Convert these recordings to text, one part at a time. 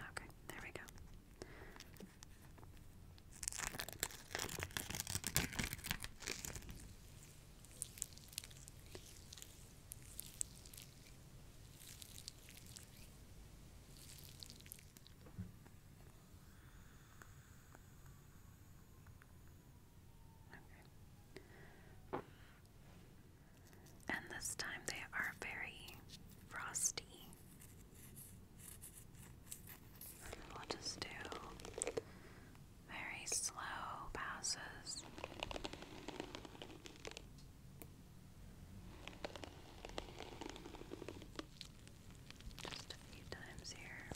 Okay, there we go. Okay. And this time they are very frosty. We'll just do very slow passes just a few times here.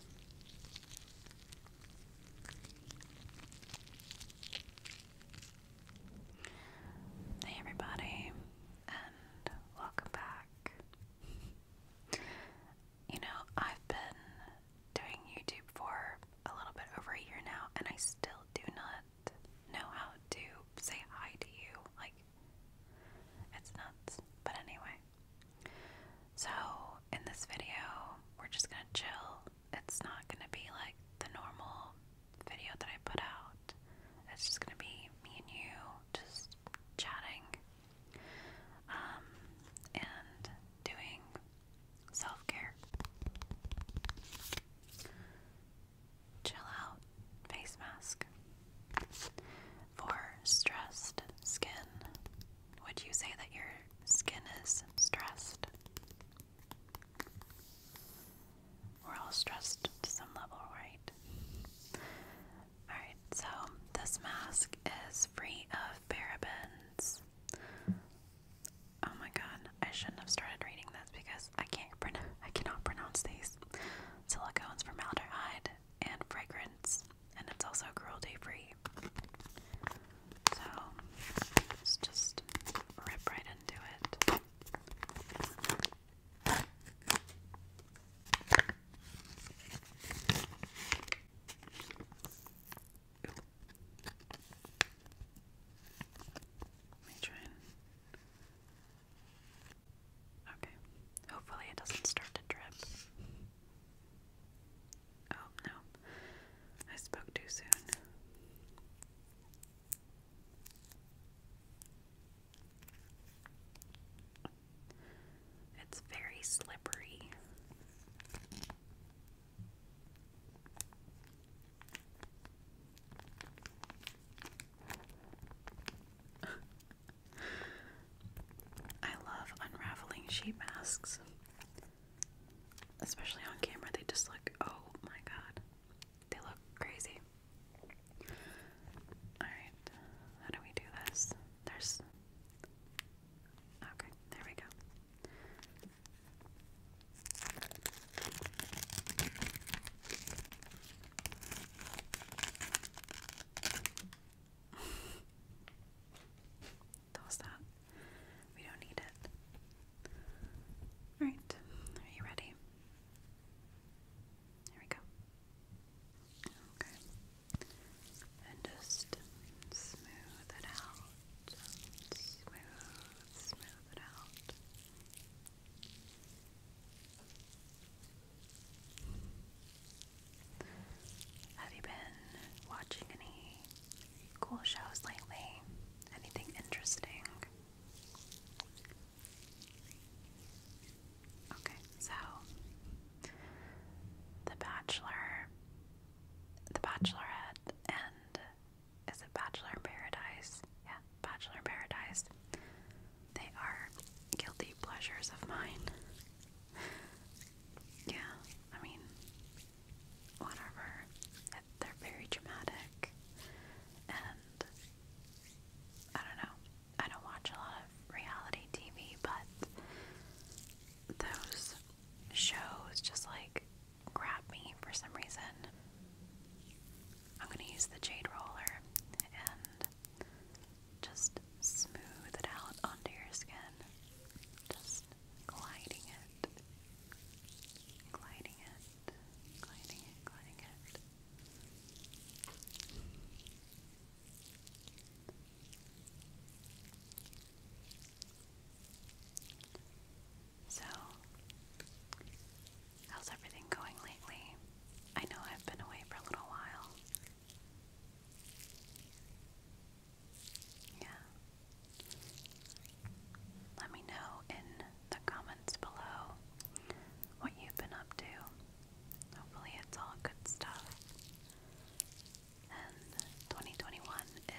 Hey, everybody, and welcome back. You know, I've been doing YouTube for a little bit over a year now, and I still do not know how to say hi to you. Like, it's nuts. But anyway, so, in this video, we're just gonna chill. It's not gonna be like the normal video that I put out, it's just gonna be me and you just chatting um, and doing self care. Chill out, face mask for stressed skin. Would you say that your skin is stressed? We're all stressed to some level, right? Alright, so this mask is free of parabens. Oh my god, I shouldn't have started reading this because I can't pronounce I cannot pronounce these. Silicones, formaldehyde, and fragrance and it's also cruelty free. So let's just rip right into it. Let me try Okay. Hopefully it doesn't start to drip. Oh no. I spoke too soon. It's very slippery. I love unraveling sheet masks. Especially on camera, they just look oh my god. They look crazy. Alright, how do we do this? There's Okay, there we go that that. We don't need it. Alright, are you ready? Here we go. Okay. And just smooth it out. Smooth, smooth it out. Have you been watching any cool shows lately? Anything interesting? Okay, so The Bachelor, The Bachelorette, and is it Bachelor Paradise? Yeah, Bachelor Paradise they are guilty pleasures of mine. yeah, I mean, whatever. They're very dramatic, and I don't know. I don't watch a lot of reality TV, but those shows just like grab me for some reason. I'm gonna use the jade roller and just smooth it out onto your skin. Just gliding it. Gliding it. Gliding it, gliding it. So, How's everything going lately? I know I've been away for a little while. Yeah. Let me know in the comments below what you've been up to. Hopefully, it's all good stuff. And 2021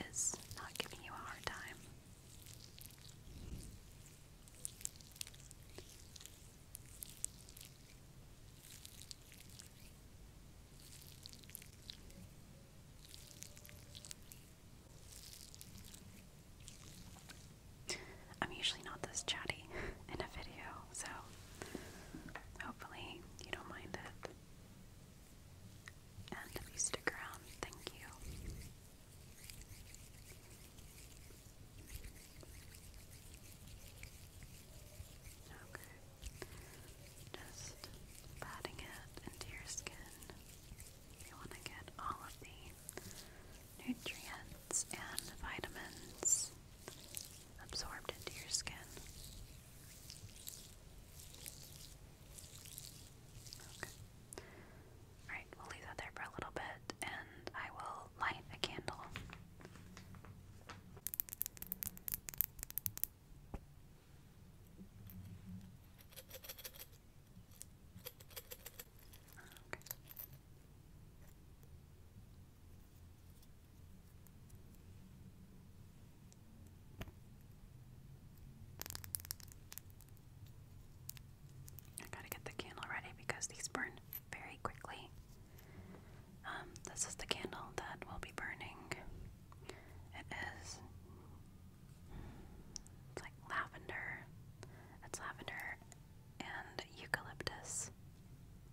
is not giving you a hard time. I'm usually not this chatty in a video, so hopefully you don't mind it. And if you stick around, thank you. Okay. Just patting it into your skin. You want to get all of the nutrients and vitamins absorbed into your skin. Okay. Alright, we'll leave that there for a little bit and I will light a candle. I gotta get the candle ready because these burn very quickly. Um, this is the candle that will be burning. It is it's like lavender. It's lavender and eucalyptus.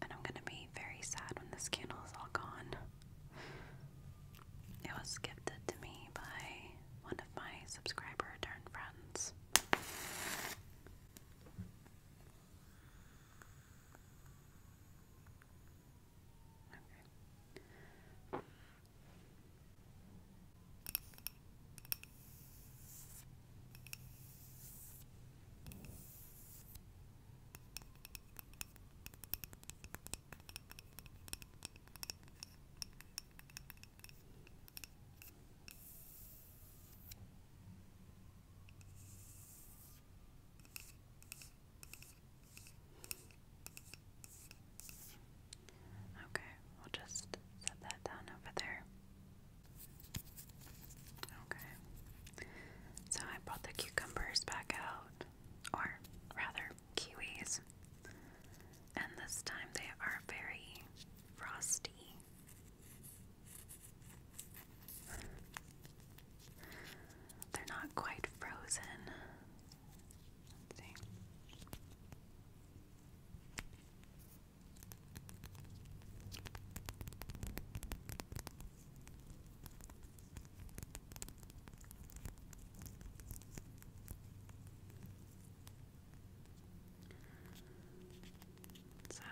And I'm gonna be very sad when this candle is all gone. It was gifted to me by one my subscriber return friends. Okay, we'll just set that down over there. Okay. So I brought the cucumbers back out, or rather, kiwis. And this time they are very frosty. They're not quite frozen. So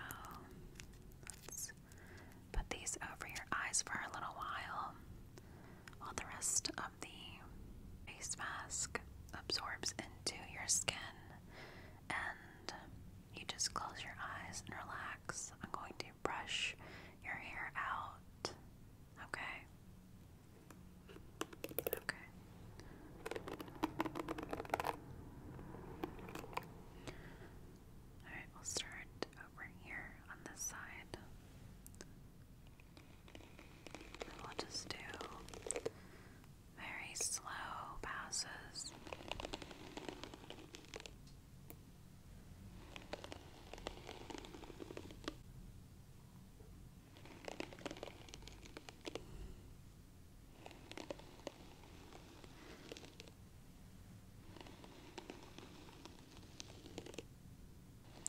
let's put these over your eyes for a little while while the rest of the face mask absorbs into your skin and you just close your eyes and relax. I'm going to brush your hair out. Okay. Okay. Alright, we'll start over here on this side. we'll just do very slow passes.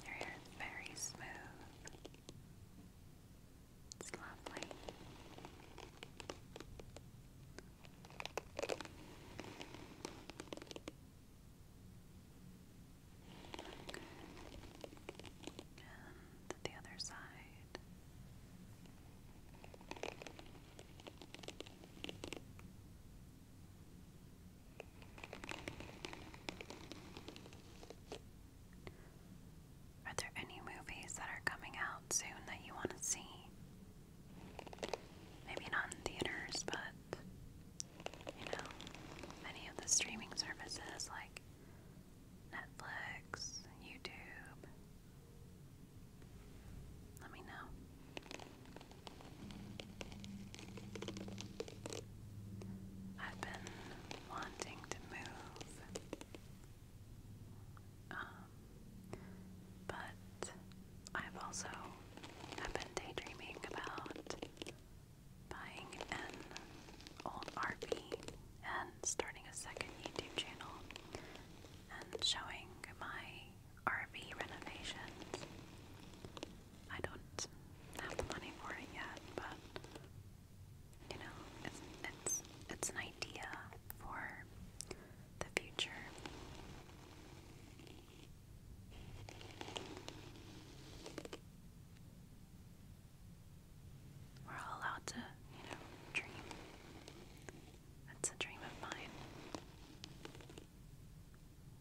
Your hair is very smooth. It's lovely. Your and the other side. Are there any movies that are coming out soon that you want to see? Maybe not in theaters, but you know, many of the streaming services like Netflix, YouTube. Let me know. I've been wanting to move, um, but I've also have been daydreaming about buying an old RV and starting a second YouTube channel and showing my RV renovations. I don't have the money for it yet, but you know, it's it's it's an idea for the future. We're all allowed to, you know, dream. That's a dream of mine.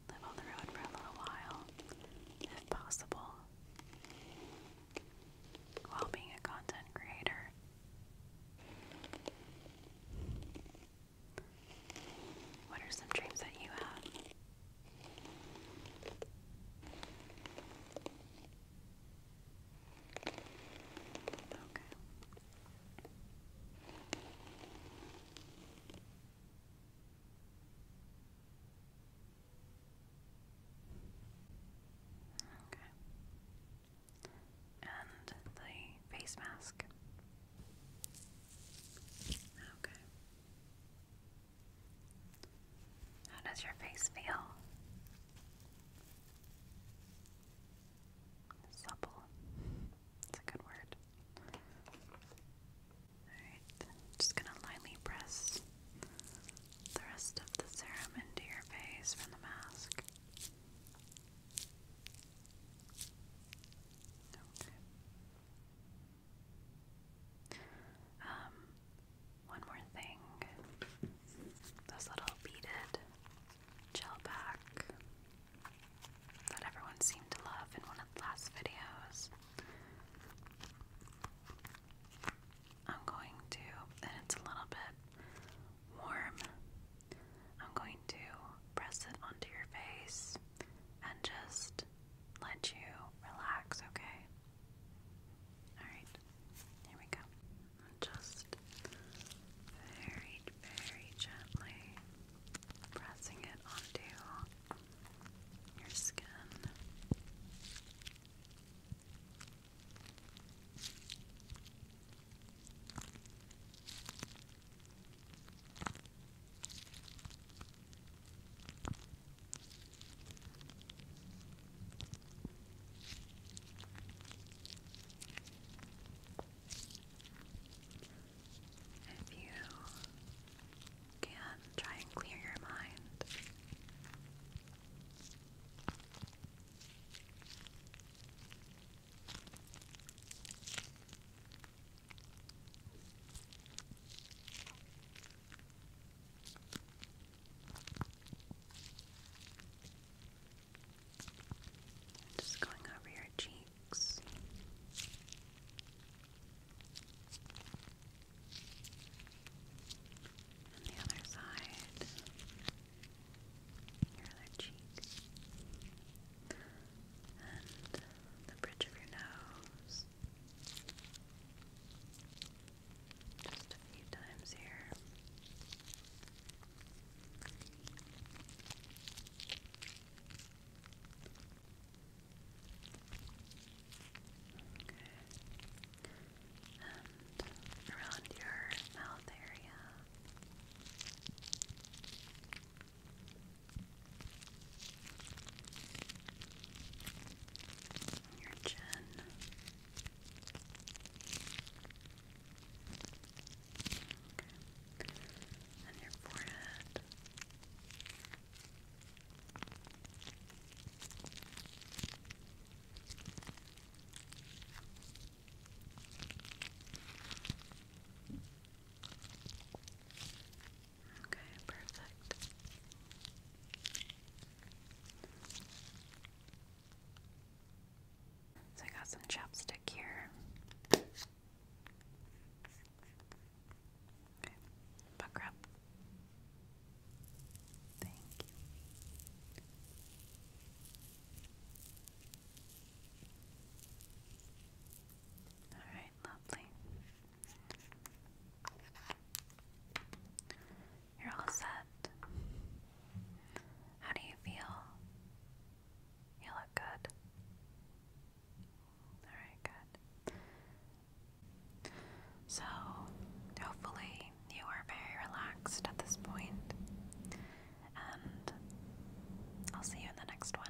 Live on the road for a little while, if possible, while being a content creator. What are some dreams that you have? Okay. Okay. And the face mask. Okay. How does your face feel? Supple. It's a good word. Alright, just gonna lightly press the rest of the serum into your face from the mask. Okay. Um, one more thing. This little beaded gel pack that everyone seemed to love in one of the last videos. I'm going to, it's a little bit warm. I'm going to press it onto your face and just let you relax, okay? Alright, here we go. just very, very gently pressing it onto your skin. If you can try and clear your mind. Just going over your cheeks. And the other side, your other cheek and the bridge of your nose. Just a few times here. And around your mouth area your chin. Okay. And your forehead. Okay. Okay, perfect. So I got some chapstick here. Okay, buck up. Thank you. Alright, lovely. You're all set. How do you feel? You look good. Alright, good. So, hopefully, you are very relaxed at this point. I'll see you in the next one.